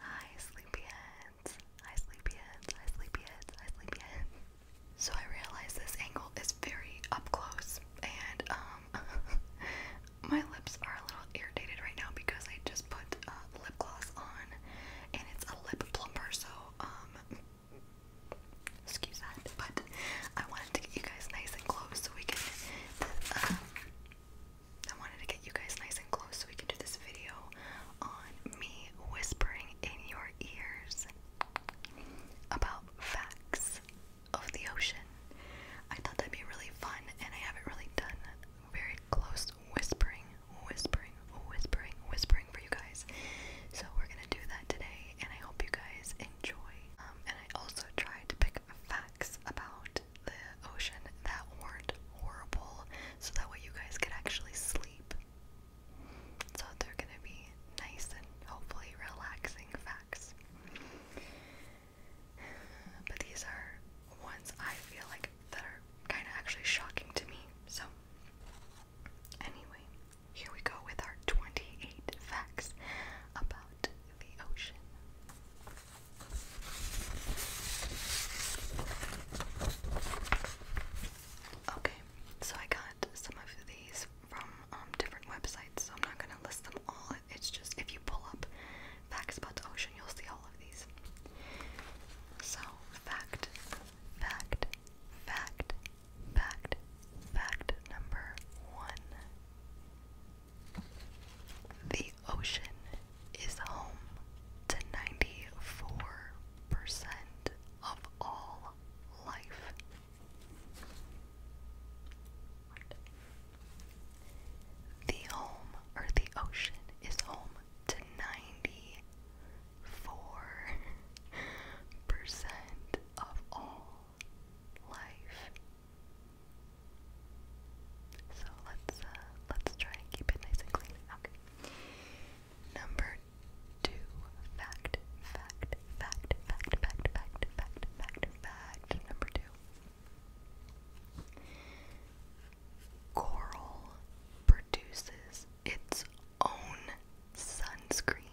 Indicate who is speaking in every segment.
Speaker 1: Hi, sleepyheads. Hi, sleepyheads. Hi, sleepyheads. Hi, sleepyheads. So I realize this angle is very up close, and um, my lips are a little irritated right now because I just put uh, lip gloss on, and it's a lip plumper, so um, excuse that, but I wanted to get you guys nice and close so we can, um, I wanted to get you guys nice and close so we can do this video on me whispering in your ears about facts of the ocean. I thought that'd be really fun, and I haven't really done very close whispering, whispering, whispering, whispering for you guys. So we're gonna do that today, and I hope you guys enjoy. Um, I also tried to pick facts about the ocean that weren't horrible so that way you guys could actually sleep. So they're gonna be nice and hopefully relaxing facts. But these are ones I feel like that are kind of actually shocking to me. So, anyway, here we go with our 28 facts about the ocean. Okay, so I got some of these from um, different websites, so I'm not going to list them all. It's just if you pull up facts about the ocean, you'll see all of these. So, fact, fact, fact, Fact, fact number one The ocean is home to 94% of all life. The home, or the ocean, is home to 94% of all life. So let's uh, let's try and keep it nice and clean. Okay. Number two, fact, fact, fact, fact, fact, fact, fact, fact, fact. Number two. Coral produces its own sunscreen.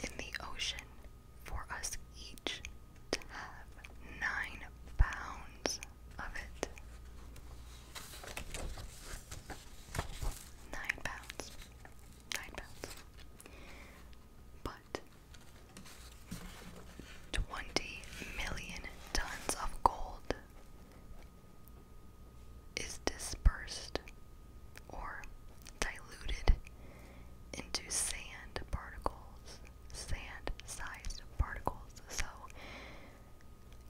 Speaker 1: in the ocean for us each to have nine pounds of it. Nine pounds. Nine pounds. But 20 million tons of gold is dispersed or diluted into sand particles, sand sized particles. So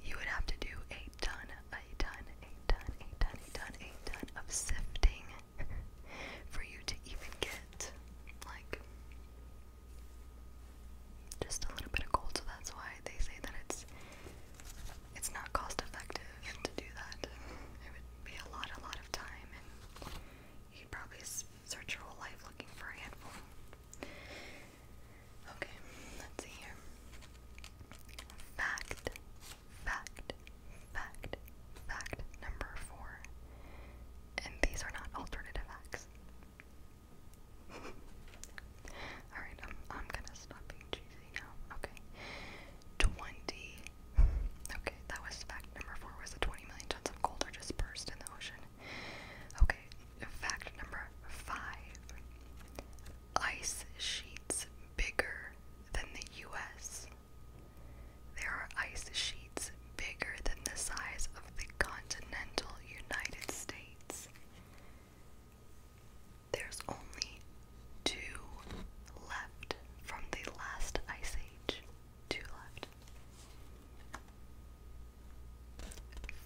Speaker 1: you would have to do a ton, a ton, a ton, a ton, a ton, a ton of sifting for you to even get like just a little bit of gold. So that's why they say that it's it's not cost effective to do that. It would be a lot, a lot of time, and you'd probably search your whole life looking for handful. Okay, let's see here. Fact, fact, fact, fact number four. And these are not alternative acts. Alright, I'm, I'm gonna stop being cheesy now. Okay. 20. Okay, that was fact number four was the 20 million tons of gold are dispersed in the ocean. Okay, fact number five. Ice sheets bigger than the US. There are ice sheets bigger than the size of the continental United States. There's only two left from the last ice age. Two left.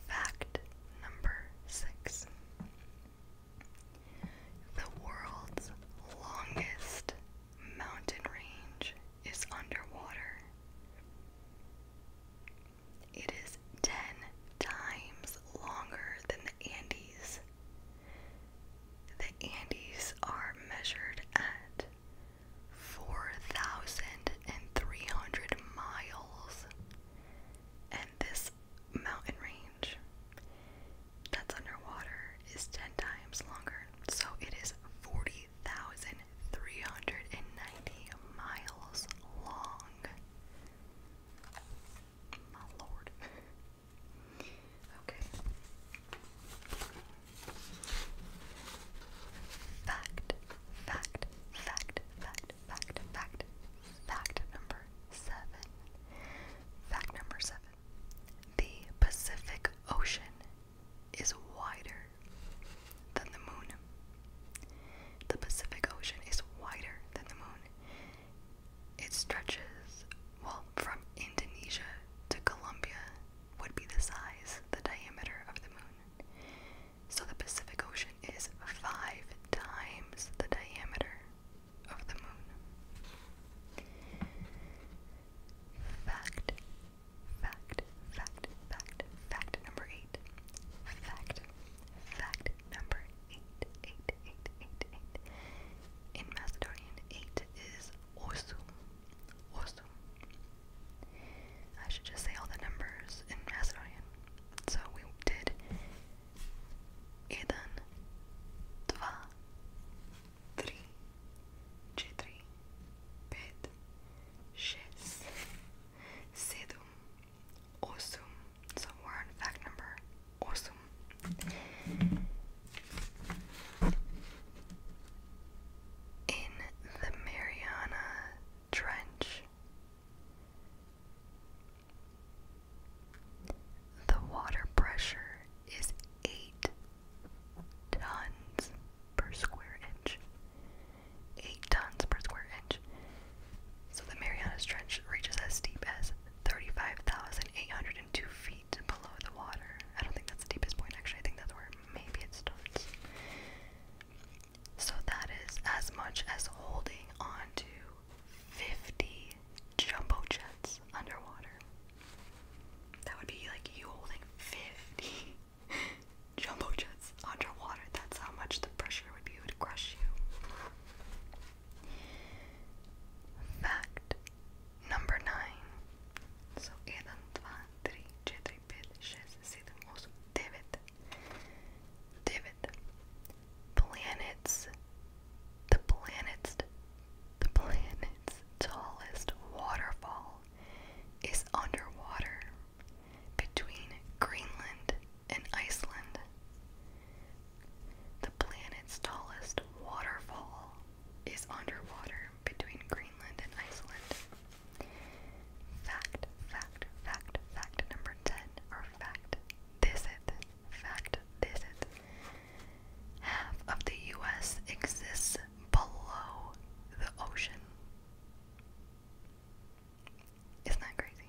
Speaker 1: Fact number six The world's longest mountain range is underwater. It is 10 times longer than the Andes. The Andes are measured at 4,300 miles, and this mountain range that's underwater is 10 times longer, so it is 40,390 miles long. My lord. Okay. Fact, fact, fact, fact, fact, fact, fact number seven. Fact number seven. The Pacific Ocean is wider than the moon. The Pacific Ocean is wider than the moon. It stretches, well, from Indonesia to Colombia would be the size, the diameter of the moon. So the Pacific Ocean is five times the diameter of the moon. Fact, fact, fact, fact, fact number eight. Fact, fact number eight, eight, eight, eight, eight. In Macedonian, eight is osum. Osum. I should just say all the numbers in Macedonian. So we did jedan, dva, tri, četiri, pet, šest, sedum, osum, so fact number awesome. In the Mariana Trench, the water pressure is 8 tons per square inch. 8 tons per square inch. So the Marianas Trench reaches as deep as 35,802 feet below the water. I don't think that's the deepest point, actually. I think that's where maybe it starts. So that is as much as holding onto 50 jumbo jets underwater. That would be like you holding 50 jumbo jets underwater. That's how much the pressure would be. It would crush you. Fact number 9. So 1, 2, Planets. The planet's the planet's tallest waterfall is underwater between Greenland and Iceland. The planet's tallest waterfall is underwater between Greenland and Iceland. Fact, fact, fact, fact number 10, or fact this it, fact this it. Half of the US exists below the ocean. Isn't that crazy?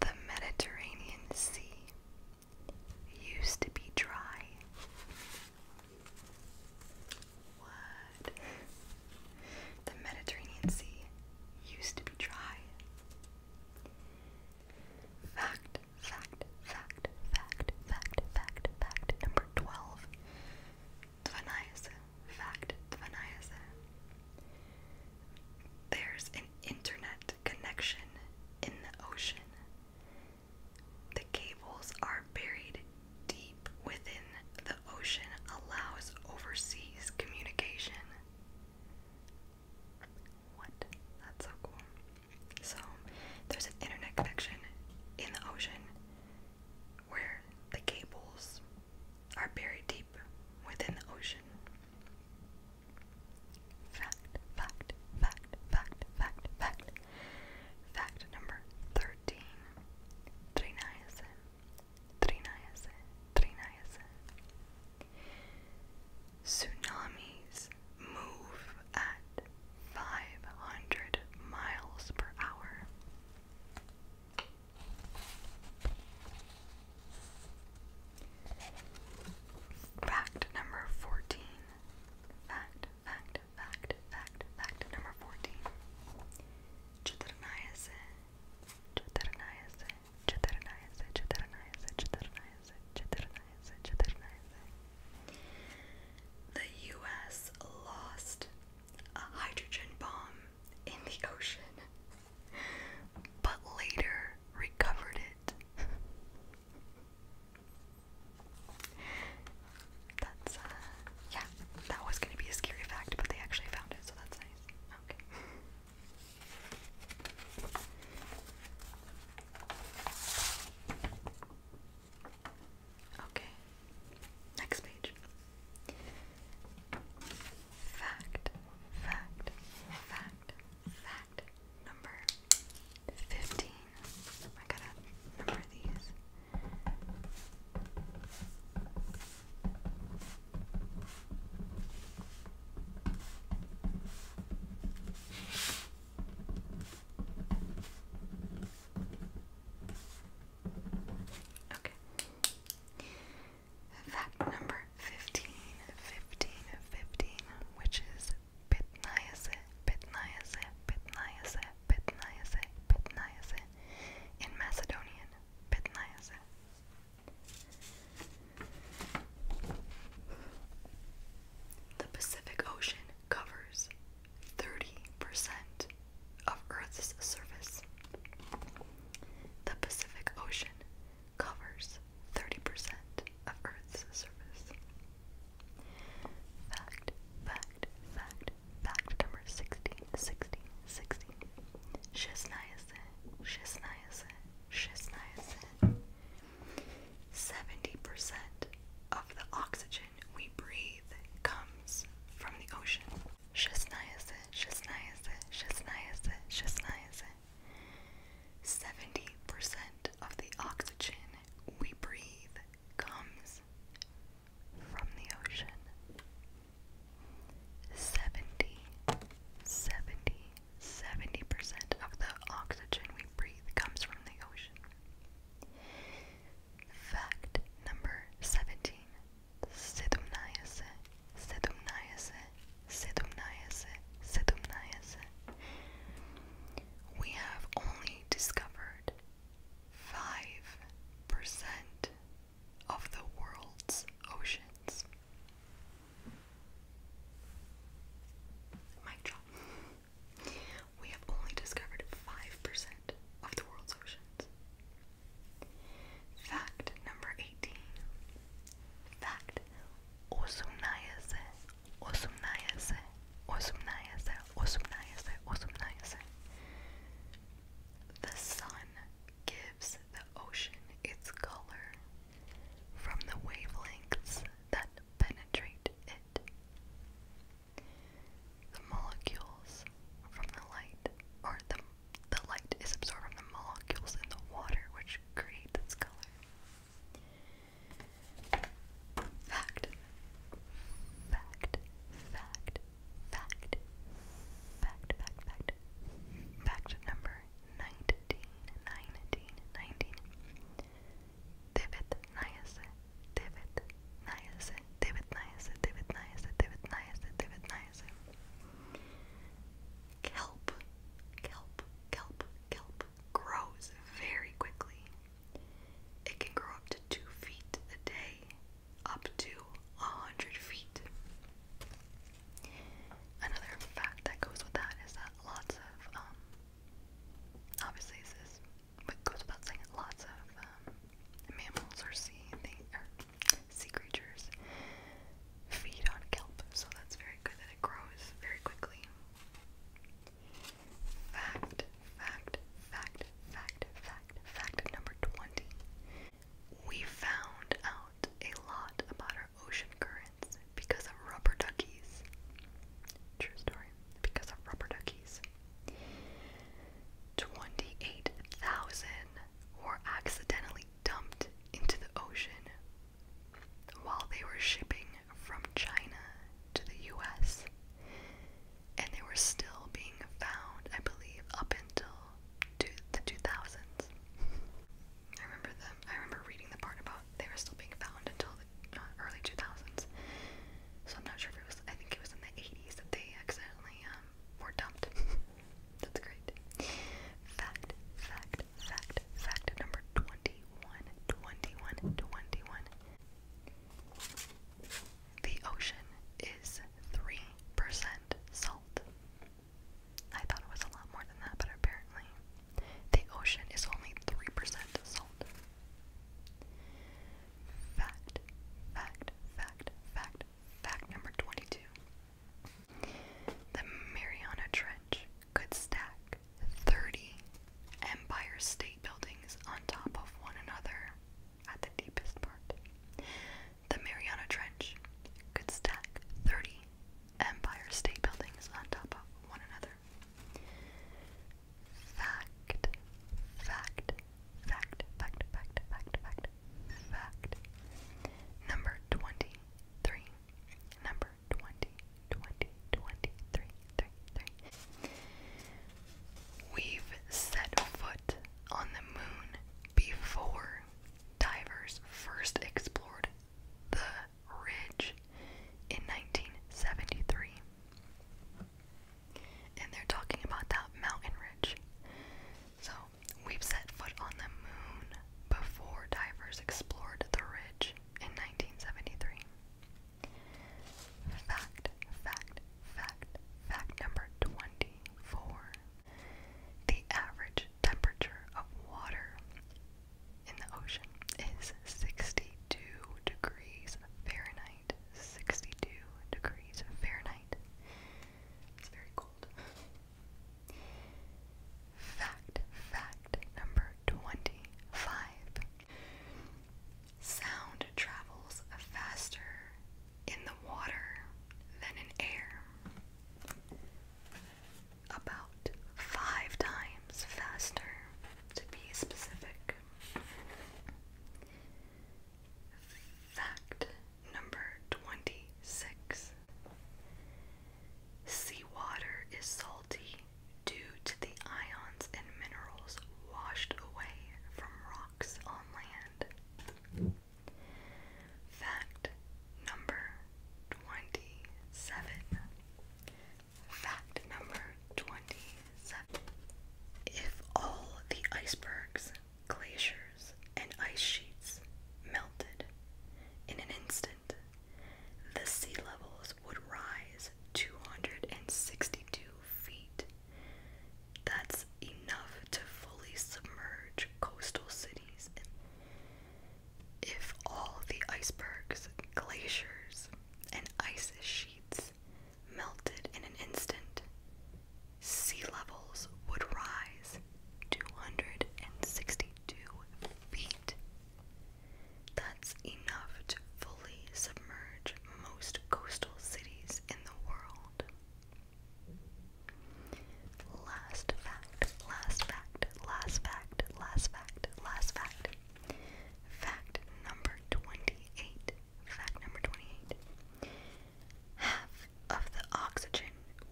Speaker 1: The Mediterranean Sea used to be dry. What? The Mediterranean Sea used to be dry. Fact, fact, fact, fact, fact, fact, fact number 12. 12 fact Tvanayasa. There's an internet connection in the ocean. The cables are buried deep within the ocean, allows overseas communication. What? That's so cool. So, there's an internet connection in the ocean where the cables are buried deep deep within the ocean. Fact, fact, fact, fact, fact, fact. Fact number 13. Triniacin. Triniacin. Triniacin. Tsunamis move at 500 miles per hour. Fact number 14. Fact, fact, fact, fact, fact number 14. Chitarnayase, Chitarnayase, Chitarnayase, Chitarnayase, Chitarnayase, Chitarnayase, Chitarnayase. The US lost a hydrogen bomb in the ocean but later recovered it. that's, uh, yeah, that was gonna be a scary fact, but they actually found it, so that's nice. Okay. Okay. Next page. Fact, fact, fact, fact number 15. I gotta number these. Okay. Fact number 15, which is pitniacin, pitniacin, pitniacin, pitniacin, pitniacin in Macedonian, pitniacin. The Pacific Ocean covers 30% of Earth's surface. The Pacific Ocean covers 30% of Earth's surface. Fact, fact, fact, fact number 16, 16, 16. Shizniacin, shizniacin, shizniacin. 70% of the oxygen we breathe comes from the ocean. Шестнадцать, шестнадцать, шестнадцать, шестнадцать. Seventy percent of the oxygen we breathe comes from the ocean. Seventy, seventy, seventy percent of the oxygen we breathe comes from the ocean. Fact number seventeen. We have only discovered 5% of the world's oceans. Mic drop. We have only discovered 5% of the world's oceans. Fact number 18. Fact. Osumnayase, osumnayase, osumnayase, osumnayase, osumnayase. The sun gives the ocean its color from the wavelengths that penetrate it. The molecules from the light, or the the light is absorbed from the molecules in the water, which creates this color. Fact. Fact. Fact. Fact. Fact. Fact. Fact. Fact number 19. 19. 19. Divot niacin. Divot niacin. Divot niacin. Divot niacin. Divot niacin. Divot niacin. Kelp, kelp, kelp, kelp grows very quickly. It can grow up to two feet a day, up to a hundred feet. Another fact that goes with that is that lots of, um, obviously this but goes without saying, lots of um, mammals are seeing things, sea creatures feed on kelp, so that's very good that it grows very quickly. Fact, fact, fact, fact, fact, fact number 20. We found out a lot about our ocean currents because of rubber duckies. True story, because of rubber duckies. 28,000 were accidentally dumped into the ocean while they were shipping from China to the US. And they were still being found, I believe, up until the 2000s. I remember them. I remember reading the part about they were still being found until the uh, early 2000s. So I'm not sure if it was. I think it was in the 80s that they accidentally uh, were dumped. That's great. Fact, fact, fact, fact number 21, The ocean is 3% salt. I thought it was a lot more than that, but apparently the ocean is only 3% salt. Fact, fact, fact, fact, fact number 22. The Mariana Trench could stack 30 Empire State Buildings on top of one another at the deepest part. The Mariana Trench could stack 30 Empire State Buildings on top of one another. Fact, fact, fact, fact, fact, fact, fact. Number 23. Number 20, We've set foot on the moon before divers first explored the ridge in 1973. And they're talking about that mountain ridge. So We've set foot on the moon before divers explored the ridge in 1973. Fact, fact, fact, fact number 24. The average temperature of water in the ocean is 62 degrees Fahrenheit. 62 degrees Fahrenheit. It's very cold. Fact, fact number 25. Sound travels faster in the water than in air. About five times faster, to be specific. Fact Number 26. Seawater is salty due to the ions and minerals washed away from rocks on land. Fact number 27. Fact number 27. If all the icebergs Glaciers and ice sheets melted. In an instant, the sea levels would rise 262 feet. That's enough to fully submerge coastal cities. If all the icebergs, glaciers, and ice sheets melted in an instant, sea levels would rise 262 feet. That's enough to fully submerge most coastal cities in the world. Last fact, last fact, last fact, last fact, last fact. Fact number 28. Fact number 28. Half of the oxygen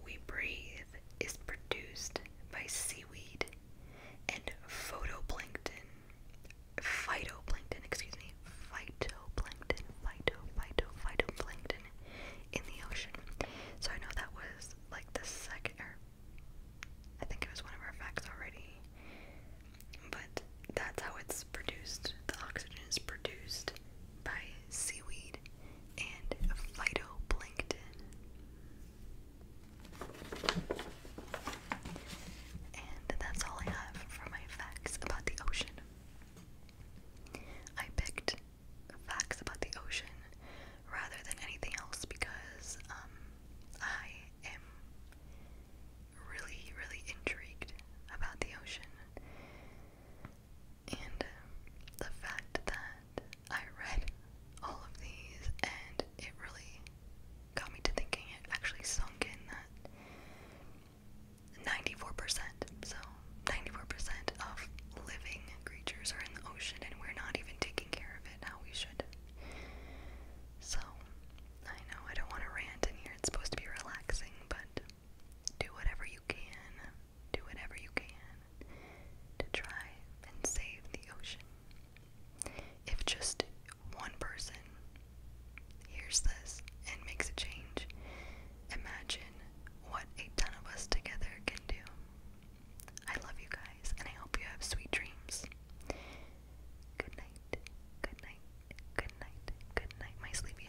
Speaker 1: we breathe is produced by seaweed and photoplankton. Phytoplankton, excuse me. Phytoplankton, phyto, phyto, phytoplankton in the ocean. So I know that was like the second, er, I think it was one of our facts already. But that's how it's produced. The oxygen is produced by seaweed and phytoplankton. And that's all I have for my facts about the ocean. I picked facts about the ocean rather than anything else because um, I am really, really intrigued about the ocean. And um, the fact that I read all of these and it really got me to thinking it actually sunk in that 94%, so 94% of living creatures are in the ocean and we're not even taking care of it now. we should. So, I know I don't want to rant in here, it's supposed to be relaxing, but do whatever you can, do whatever you can to try and save the ocean. If just one person hears this and makes a change, imagine what a ton of us together can do. I love you guys, and I hope you have sweet dreams. Good night, good night, good night, good night, my sleepy